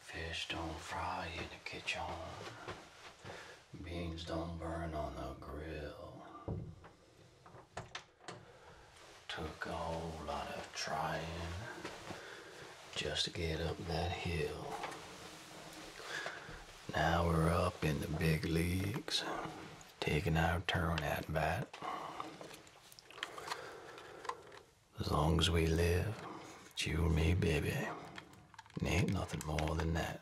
Fish don't fry in the kitchen. Beans don't burn on the grill. Took a whole lot of trying just to get up that hill. Now we're up in the big leagues taking our turn at bat. As long as we live, it's you and me, baby. ain't nothing more than that.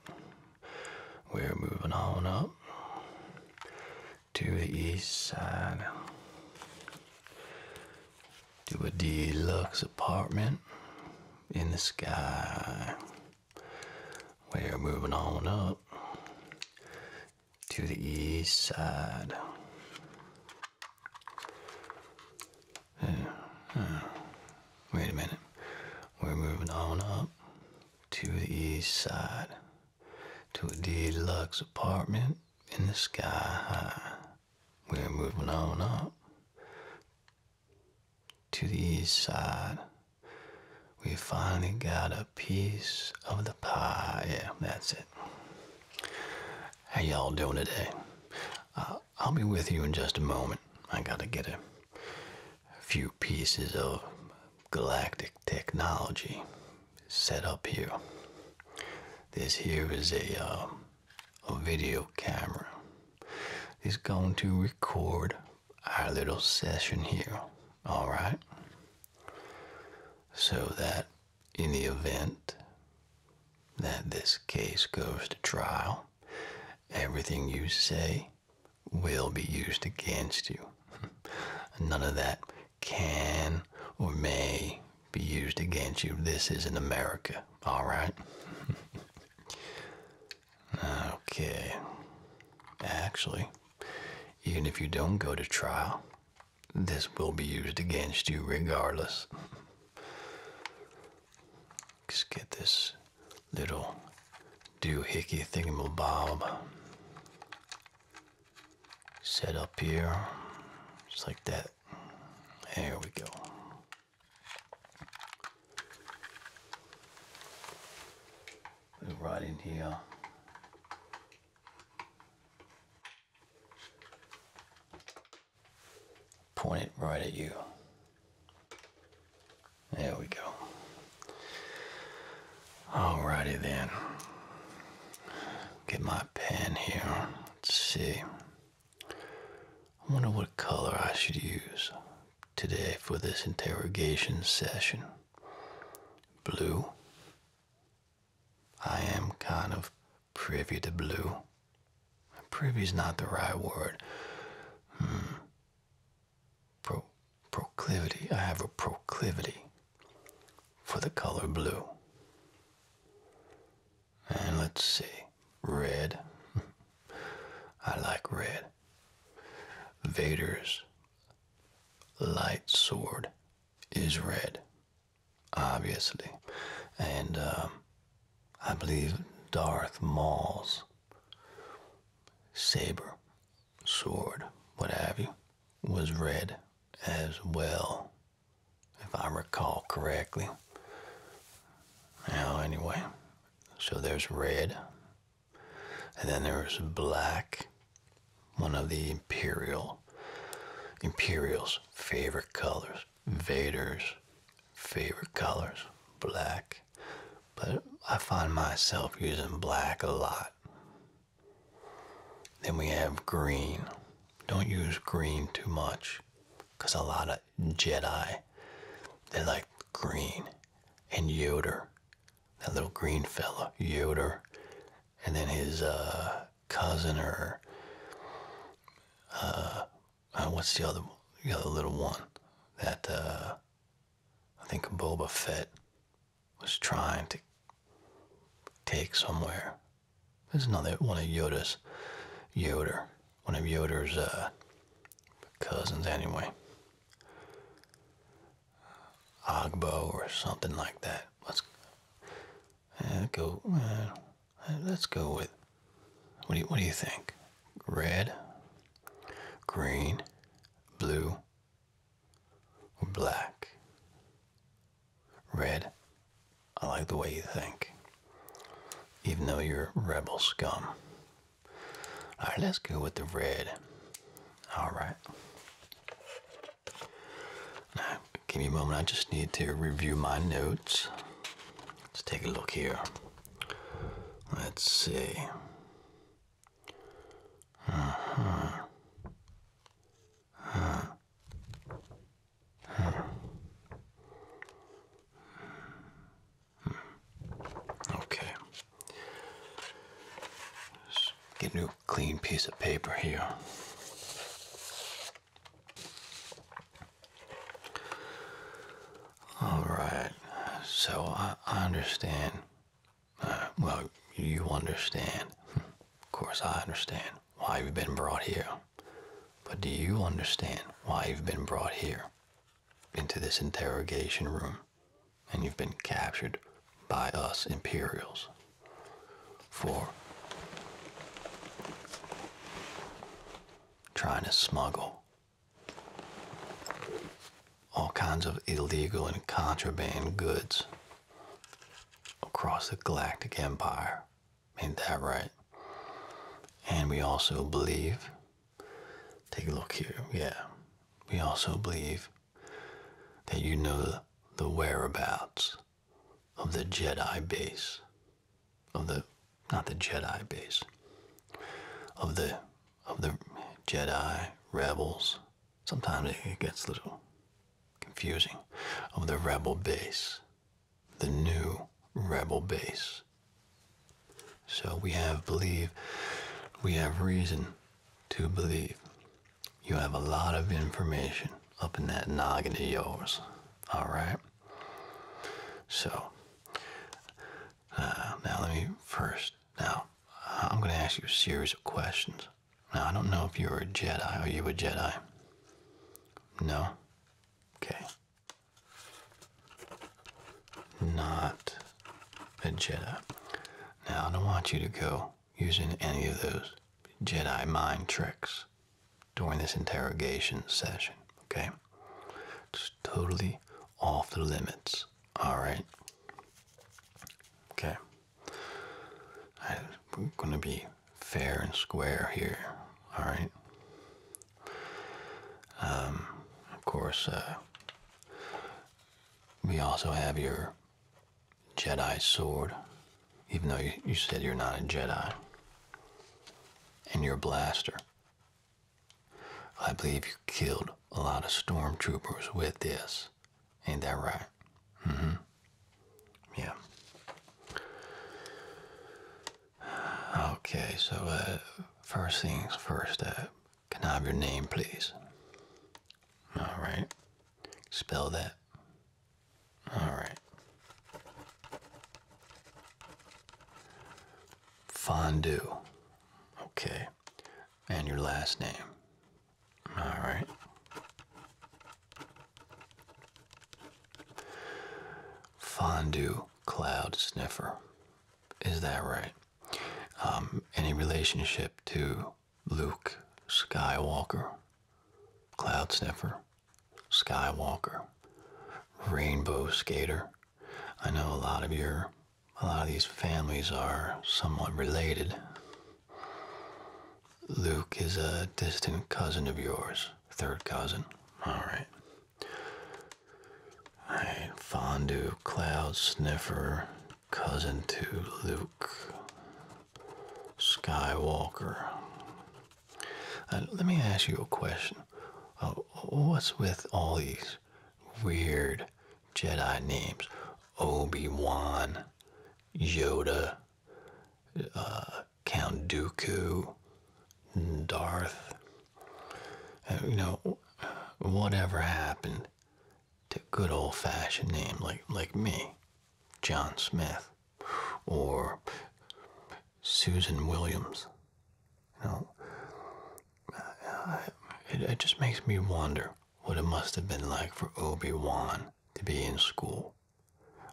We're moving on up to the east side to a deluxe apartment in the sky. We're moving on up to the east side. wait a minute. We're moving on up to the east side to a deluxe apartment in the sky high. We're moving on up to the east side, we finally got a piece of the pie. Yeah, that's it. How y'all doing today? Uh, I'll be with you in just a moment. I gotta get a few pieces of galactic technology set up here. This here is a, uh, a video camera. It's going to record our little session here, all right? So that in the event that this case goes to trial, everything you say will be used against you. None of that can or may be used against you. This is in America, all right? Okay. Actually, even if you don't go to trial, this will be used against you regardless. Just get this little doohickey thingy thingamabob set up here. Just like that. There we go right in here. Point it right at you. There we go. Alrighty then. Get my pen here. Let's see. I wonder what color I should use today for this interrogation session. Blue. I am kind of privy to blue. Privy is not the right word. Hmm. proclivity. I have a proclivity for the color blue. And let's see. Red. I like red. Vader's light sword is red, obviously. And um, I believe Darth Maul's saber, sword, what have you, was red as well, if I recall correctly. Now, anyway, so there's red, and then there was black, one of the imperial, imperials' favorite colors, Vader's favorite colors, black. But I find myself using black a lot. Then we have green. Don't use green too much because a lot of. Jedi. they're like green and Yoder. That little green fella, Yoder. And then his uh, cousin or uh, uh, what's the other other little one that I think Boba Fett was trying to take somewhere. There's another one of Yoda's Yoder one of Yoder's uh, cousins, anyway. Ogbo or something like that. Let's eh, go. Eh, let's go with. What do you What do you think? Red, green, blue, black? Red. I like the way you think, even though you're rebel scum. All right, let's go with the red. All right. give me a moment. I just need to review my notes. Let's take a look here. Let's see. Okay. Just get a new clean piece of paper here. All right. So I, understand. Uh, well, you understand. Of course, I understand why you've been brought here. But do you understand why you've been brought here? into this interrogation room and you've been captured by us Imperials for trying to smuggle all kinds of illegal and contraband goods across the Galactic Empire. Ain't that right? And we also believe Take a look here. Yeah. We also believe that you know the, whereabouts of the Jedi base. Of the not the Jedi base. Of the of the Jedi rebels. Sometimes it gets a little confusing. Of the rebel base. The new rebel base so we have believe, we have reason to believe. You have a lot of information up in that noggin of yours, all right? So, uh, now let me first, now I'm going to ask you a series of questions. Now, I don't know if you're a Jedi. or you a Jedi? No? Okay. Not a Jedi. Now, I don't want you to go using any of those Jedi mind tricks during this interrogation session, okay? It's totally off the limits, alright? Okay. I'm going to be fair and square here, alright? Um, of course, uh, we also have your Jedi sword, even though you, you said you're not a Jedi, and your blaster. I believe you killed a lot of stormtroopers with this. Ain't that right? Mm hmm. Yeah. Okay, so uh, first things first, uh, can I have your name, please? All right. Spell that. All right. Fondue. Okay. And your last name. All right. Fondue Cloud Sniffer. Is that right? Um, any relationship to Luke Skywalker, Cloud Sniffer, Skywalker, Rainbow Skater? I know a lot of your, a lot of these families are somewhat related. Luke is a distant cousin of yours, third cousin. All right. Alright, Fondue, Cloud, Sniffer, cousin to Luke, Skywalker. Uh, let me ask you a question. Uh, what's with all these weird Jedi names? Obi-Wan, Yoda, uh, Count Dooku, Darth, uh, you know, whatever happened to good old fashioned name like like me, John Smith, or Susan Williams. You uh, it, it just makes me wonder what it must have been like for Obi Wan to be in school.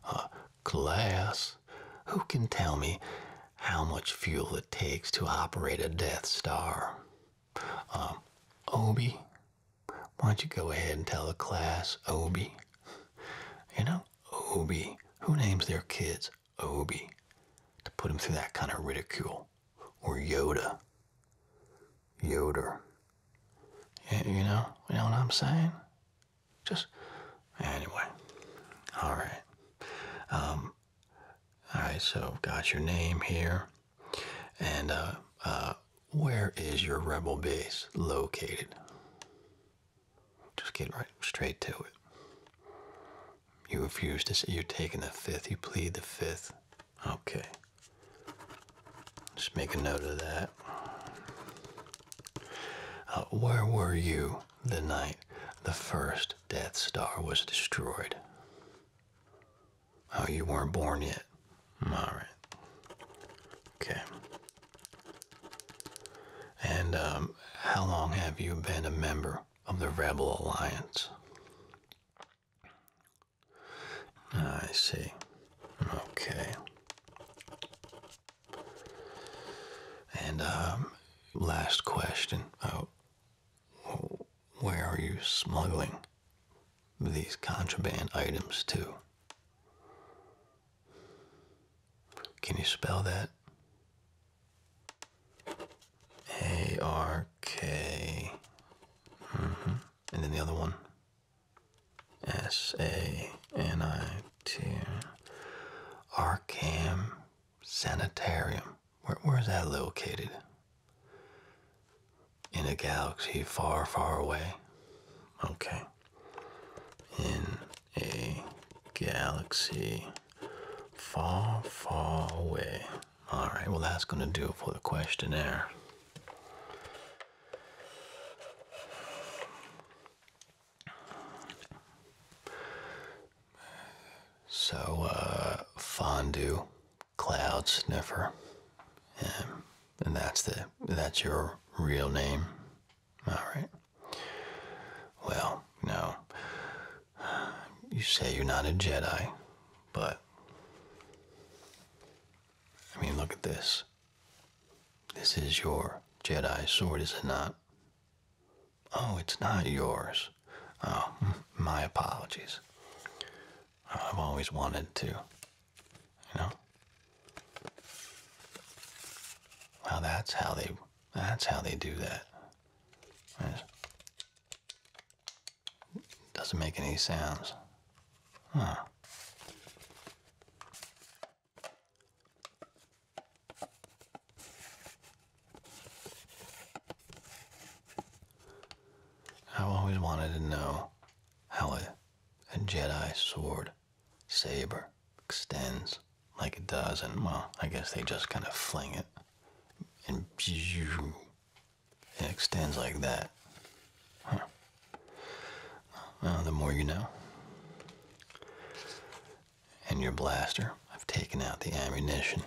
Uh, class, who can tell me how much fuel it takes to operate a Death Star. Um, Obi, why don't you go ahead and tell the class Obi? You know, Obi. Who names their kids Obi to put them through that kind of ridicule? Or Yoda? Yoder. You know, you know what I'm saying? Just Anyway, all right. Um, all right, so got your name here, and uh, uh, where is your rebel base located? Just get right straight to it. You refuse to say you're taking the fifth. You plead the fifth. Okay. Just make a note of that. Uh, where were you the night the first Death Star was destroyed. Oh, you weren't born yet. All right. Okay. And um, how long have you been a member of the Rebel Alliance? I see. Okay. And um, last question: Where are you smuggling these contraband items to? Can you spell that? A R K. Mm-hmm. And then the other one. S A N I T. Sanitarium. where's that located? In a galaxy far, far away? Okay. In a galaxy far, far away. Alright, well, that's going to do it for the questionnaire. So, uh, fondue, cloud sniffer, and that's the that's your real name. All right. Well, no, you say you're not a Jedi, but I mean, look at this. This is your Jedi sword, is it not? Oh, it's not yours. Oh, my apologies. I've always wanted to, you know. Well, that's how they. That's how they do that. doesn't make any sounds. Huh. I've always wanted to know how a, a Jedi sword, saber, extends like it does, and well, I guess they just kind of fling it, and it extends like that. the more you know and your blaster. I've taken out the ammunition.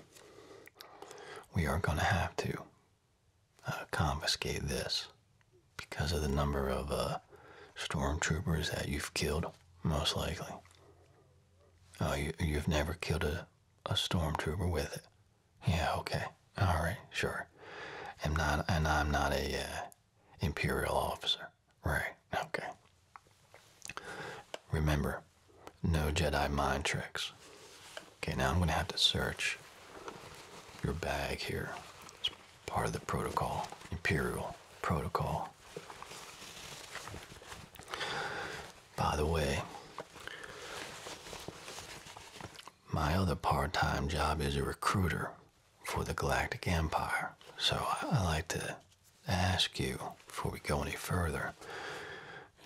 We are going to have to uh, confiscate this because of the number of uh, stormtroopers that you've killed, most likely. Oh, you, you've never killed a, a stormtrooper with it. Yeah, okay. All right, sure. am not, and I'm not a uh, imperial officer. Right, okay. Remember, no Jedi mind tricks. Okay, now I'm going to have to search your bag here. It's part of the protocol, imperial protocol. By the way, my other part-time job is a recruiter for the Galactic Empire. So I, like to ask you before we go any further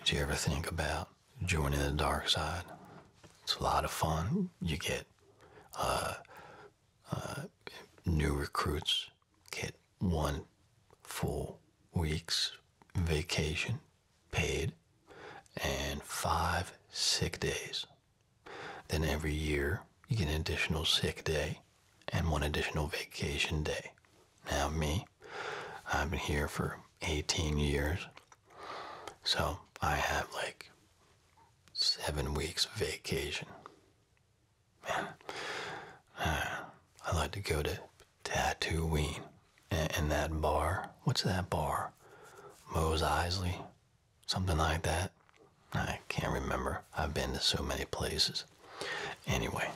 did you ever think about joining the dark side? It's a lot of fun. You get uh, uh, new recruits, get one full week's vacation paid, and five sick days. Then every year, you get an additional sick day and one additional vacation day. Now, me, I've been here for 18 years, so I have like seven weeks vacation. Man, I like to go to Tatooine and, and that bar. What's that bar? Mose Isley, something like that. I can't remember. I've been to so many places. Anyway,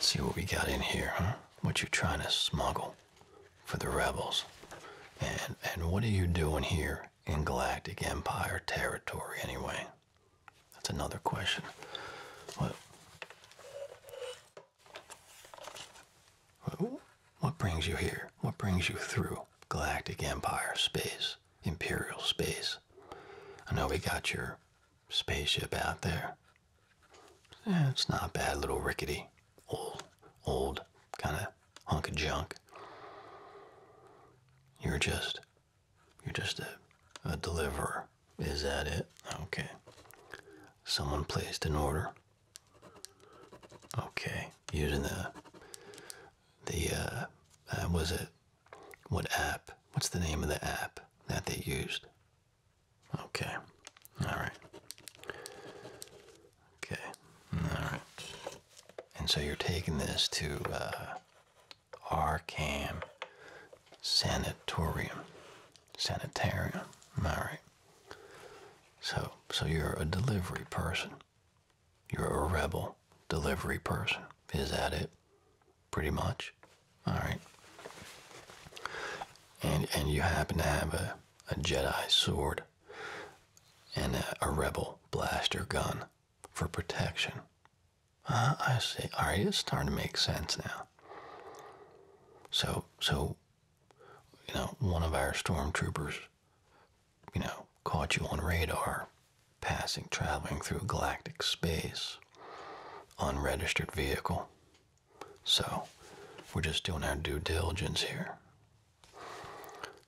see what we got in here, huh? What you are trying to smuggle for the rebels? And and what are you doing here in Galactic Empire territory anyway? That's another question. What what brings you here? What brings you through Galactic Empire space, Imperial space? I know we got your spaceship out there. Eh, it's not a bad, little rickety, old, old kind of hunk of junk. You're just, you're just a, a deliverer. Is that it? Okay. Someone placed an order. Okay, using the, the, uh, uh was it what app? What's the name of the app that they used? Okay. All right. Okay. All right. And so you're taking this to uh, RCAM Sanatorium. Sanitarium. All right. So, so you're a delivery person. You're a rebel delivery person. Is that it? Pretty much. All right. And and you happen to have a, a Jedi sword and a, rebel blaster gun for protection. Ah, I see. All right, it's starting to make sense now. So so, you know, one of our stormtroopers you know, caught you on radar, passing, traveling through galactic space, unregistered vehicle. So, we're just doing our due diligence here.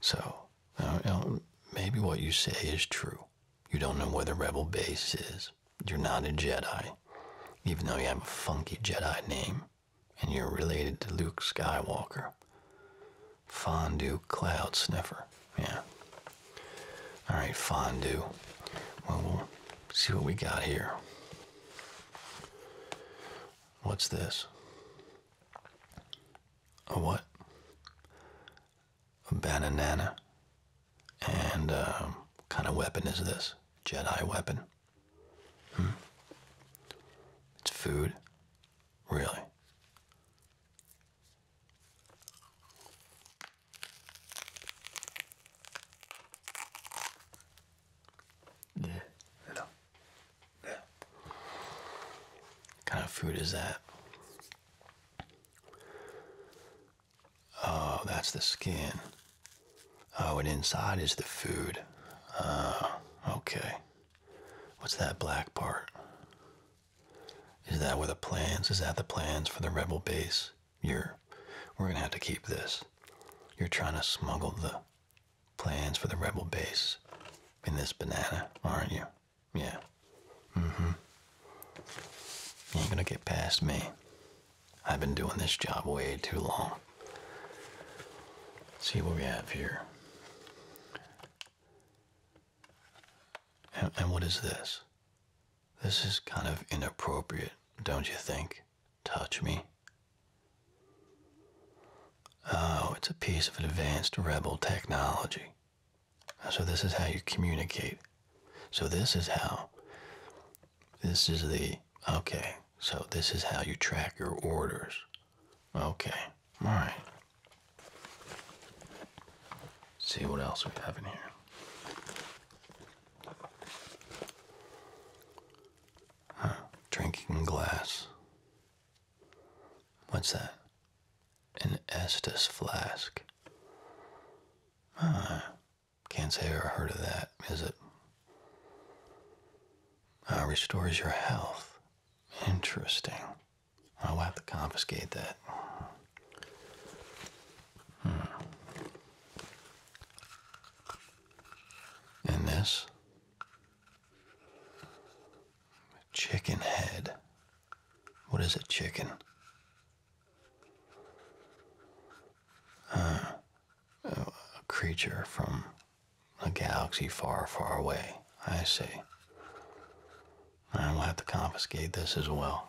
So, uh, maybe what you say is true. You don't know where the rebel base is. You're not a Jedi, even though you have a funky Jedi name, and you're related to Luke Skywalker. Fondue cloud sniffer. Yeah. All right, fondue. Well, we'll see what we got here. What's this? A what? A banana. And um, kind of weapon is this? Jedi weapon. Hmm? It's food. Really? Yeah, yeah, What kind of food is that? Oh, that's the skin. Oh, and inside is the food. Oh, okay. What's that black part? Is that where the plans? Is that the plans for the rebel base? You're, we're gonna have to keep this. You're trying to smuggle the plans for the rebel base in this banana, aren't you? Yeah. Mm-hmm. You are gonna get past me. I've been doing this job way too long. see what we have here. And what is this? This is kind of inappropriate, don't you think? Touch me. Oh, it's a piece of advanced rebel technology. So, this is how you communicate. So, this is how. This is the. Okay, so this is how you track your orders. Okay. All right. See what else we have in here. Drinking glass. What's that? An estus flask. Huh. Can't say I have heard of that, is it? Uh, restores your health. Interesting. Oh, I'll have to confiscate that. Hmm. And this? Chicken head. What is a chicken? Uh, a creature from a galaxy far, far away. I see. I will have to confiscate this as well.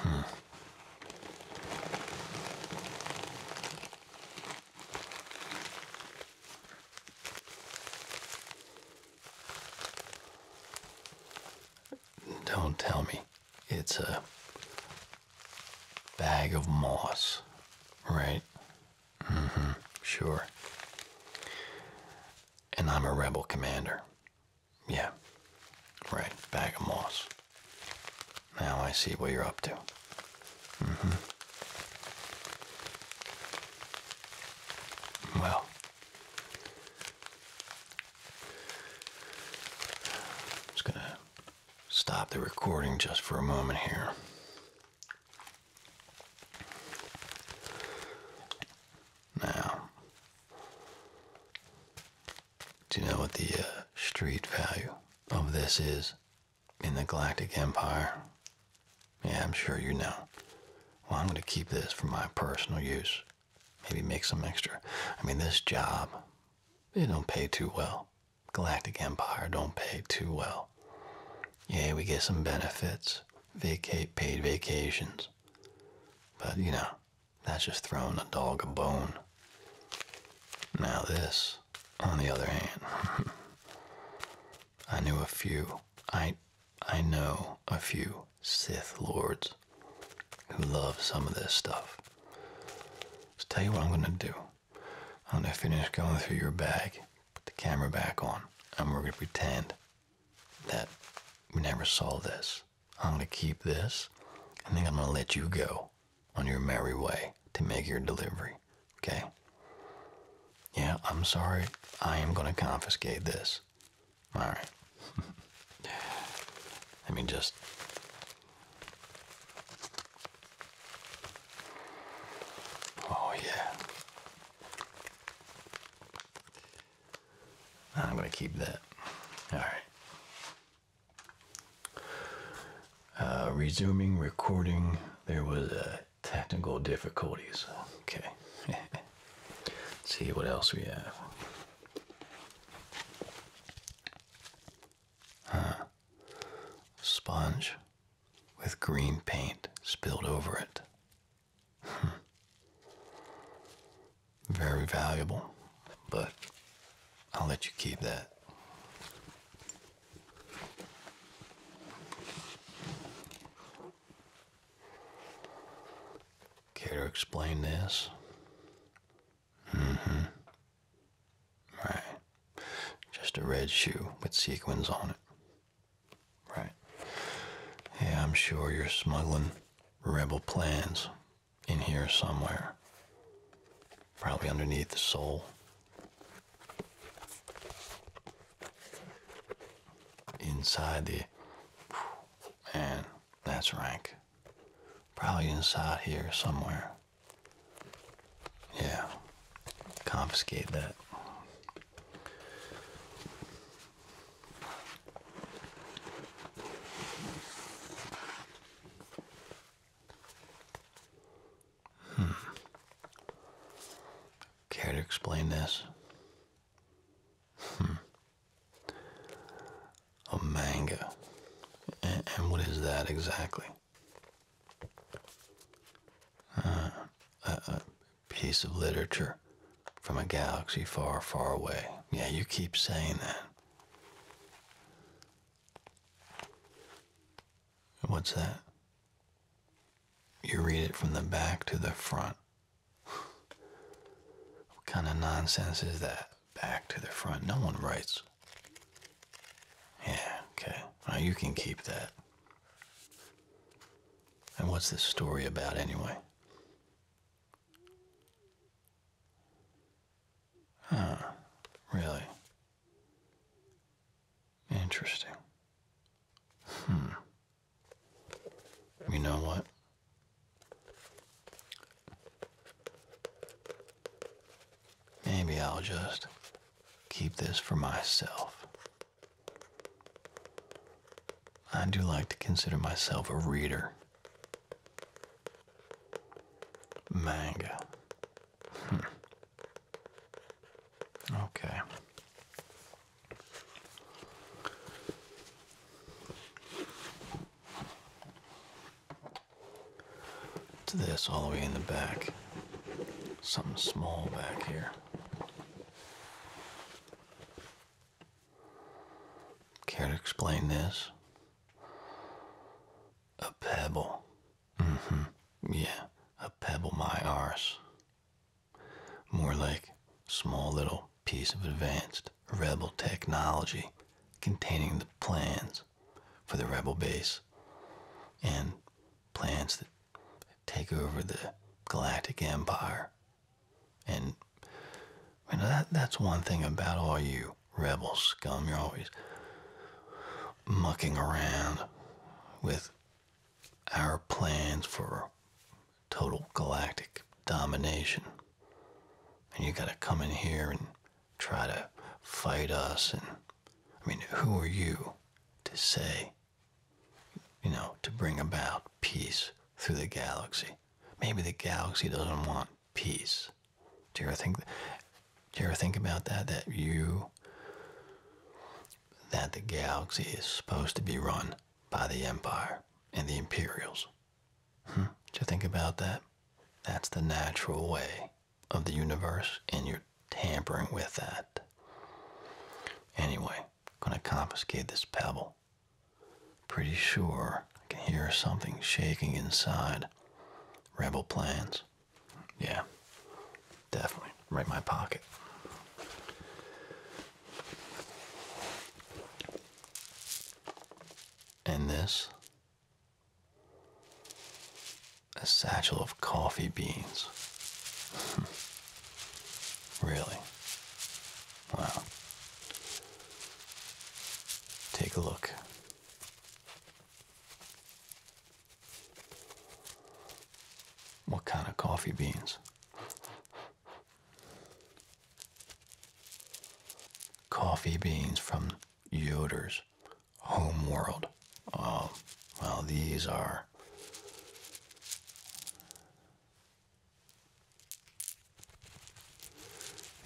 Hmm. Don't tell me. It's a bag of moss, right? Mm hmm, sure. And I'm a rebel commander. Yeah, right, bag of moss. Now I see what you're up to. Mm hmm. Well. just gonna stop the recording just for a moment here. Now, do you know what the uh, street value of this is in the Galactic Empire? Yeah, I'm sure you know. Well, I'm going to keep this for my personal use. Maybe make some extra. I mean, this job, they don't pay too well. Galactic Empire don't pay too well. Yeah, we get some benefits, vacate paid vacations. But you know, that's just throwing a dog a bone. Now this, on the other hand, I knew a few. I I know a few Sith Lords who love some of this stuff. So tell you what I'm gonna do. I'm gonna finish going through your bag, put the camera back on, and we're going to pretend that we never saw this. I'm going to keep this, and then I'm going to let you go on your merry way to make your delivery. Okay? Yeah, I'm sorry. I am going to confiscate this. All right. Let me just Oh, yeah. I'm going to keep that. All right. Uh, resuming recording. There was uh, technical difficulties. Okay. see what else we have. Huh. Sponge with green paint spilled over it. Hmm. Very valuable, but I'll let you keep that. Care to explain this? Mm-hmm. Right. Just a red shoe with sequins on it. Right. Yeah, I'm sure you're smuggling rebel plans in here somewhere. Probably underneath the sole. Inside the... Man, that's rank. Probably inside here somewhere. Yeah. Confiscate that. Hmm. Care to explain this? Hmm. A manga. and what is that exactly? Uh, a piece of literature from a galaxy far, far away. Yeah, you keep saying that. What's that? You read it from the back to the front. what kind of nonsense is that? back to the front. No one writes. Yeah, okay. Now you can keep that. And what's this story about anyway? Huh, really? Interesting. Hmm. You know what? Maybe I'll just keep this for myself. I do like to consider myself a reader. Manga. Hmm. Okay to this all the way in the back. Something small back here. Care to explain this? A pebble. Mm-hmm. Yeah, a pebble my arse. More like small little piece of advanced rebel technology containing the plans for the rebel base and plans that take over the galactic empire. And you know that, that's one thing about all you rebel scum. You're always mucking around with our plans for total galactic domination. And you gotta come in here and try to fight us. And I mean, who are you to say, you know, to bring about peace through the galaxy? Maybe the galaxy doesn't want peace. Do you think? Do you ever think about that? That you, that the galaxy is supposed to be run by the Empire and the Imperials. Hmm? Do you think about that? That's the natural way of the universe and you're tampering with that. Anyway, gonna confiscate this pebble. Pretty sure I can hear something shaking inside. Rebel plans. Yeah, definitely. Right in my pocket. And this a satchel of coffee beans. really? Wow. Take a look. What kind of coffee beans? Coffee beans from Yoder's home world. Oh, well, these are.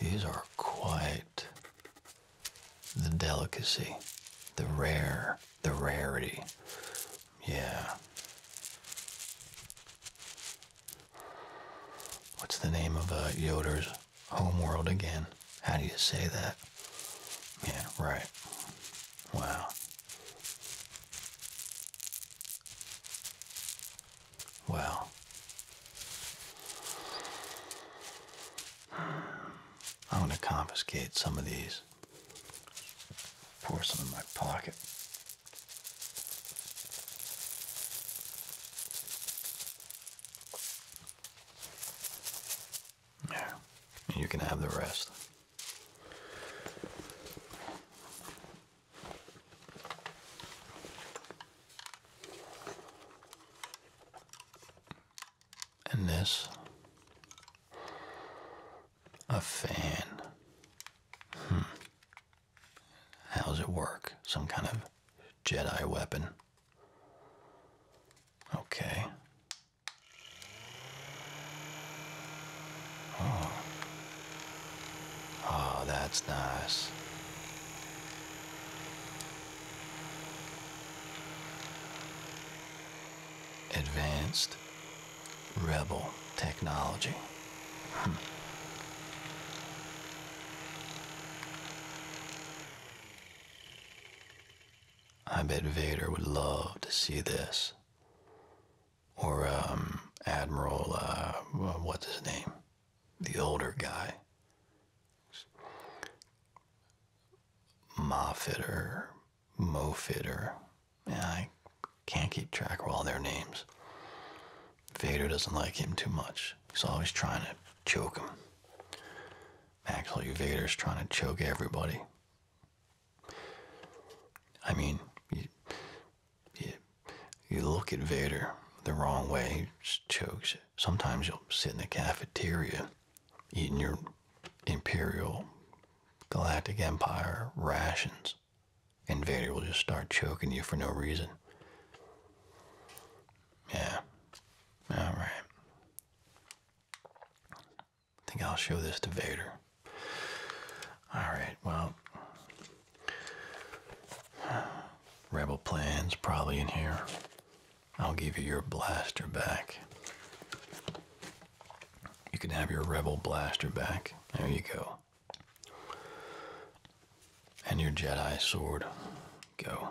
These are quite the delicacy, the rare, the rarity. Yeah. What's the name of uh, Yoder's Homeworld again. How do you say that? Yeah, right. Wow. Wow. I'm going to confiscate some of these. Pour some in my pocket. There. You can have the rest. And this a fan. Hmm. How's it work? Some kind of Jedi weapon. Okay. Oh. Oh, that's nice. Advanced Rebel technology. Hmm. I bet Vader would love to see this. Or um, Admiral, uh, uh, what's his name? The older guy. Moffat or Mofitter. I can't keep track of all their names. Vader doesn't like him too much. He's always trying to choke him. Actually, Vader's trying to choke everybody. I mean, you, you, look at Vader the wrong way, he just chokes it. Sometimes you'll sit in the cafeteria eating your Imperial Galactic Empire rations, and Vader will just start choking you for no reason. Yeah. All right. I think I'll show this to Vader. All right. Well, Rebel plans probably in here. I'll give you your blaster back. You can have your Rebel blaster back. There you go and your Jedi sword go.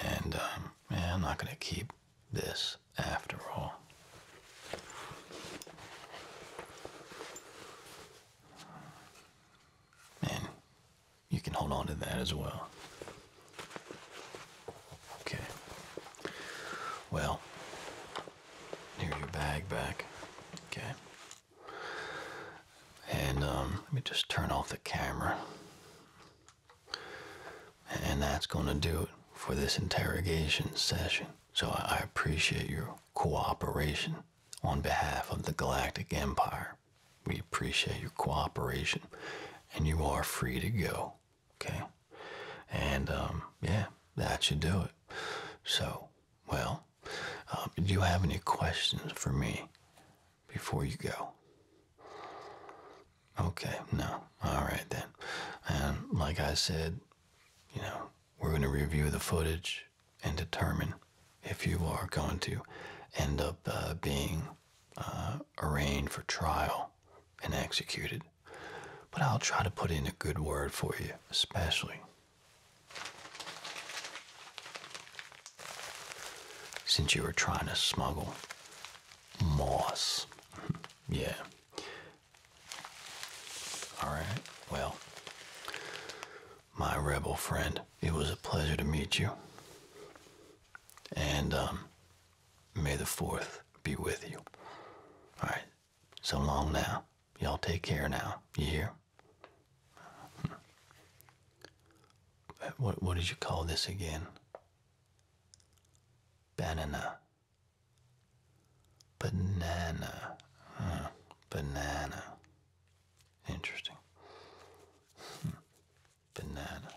And um, I'm not gonna keep this after all. And you can hold on to that as well. Okay. Well, here's your bag back. Okay. And um, let me just turn off the camera. And that's going to do it for this interrogation session. So I appreciate your cooperation on behalf of the Galactic Empire. We appreciate your cooperation, and you are free to go. Okay? And um, yeah, that should do it. So, well, um, do you have any questions for me before you go? Okay, no. All right then. And like I said, you know, we're going to review the footage and determine if you are going to end up uh, being uh, arraigned for trial and executed. But I'll try to put in a good word for you, especially since you were trying to smuggle moss. yeah. Alright, well, my rebel friend, it was a pleasure to meet you. And um, may the 4th be with you. Alright, so long now. Y'all take care now. You hear? Uh, what what did you call this again? Banana. Banana. banana. Interesting. Hmm, banana.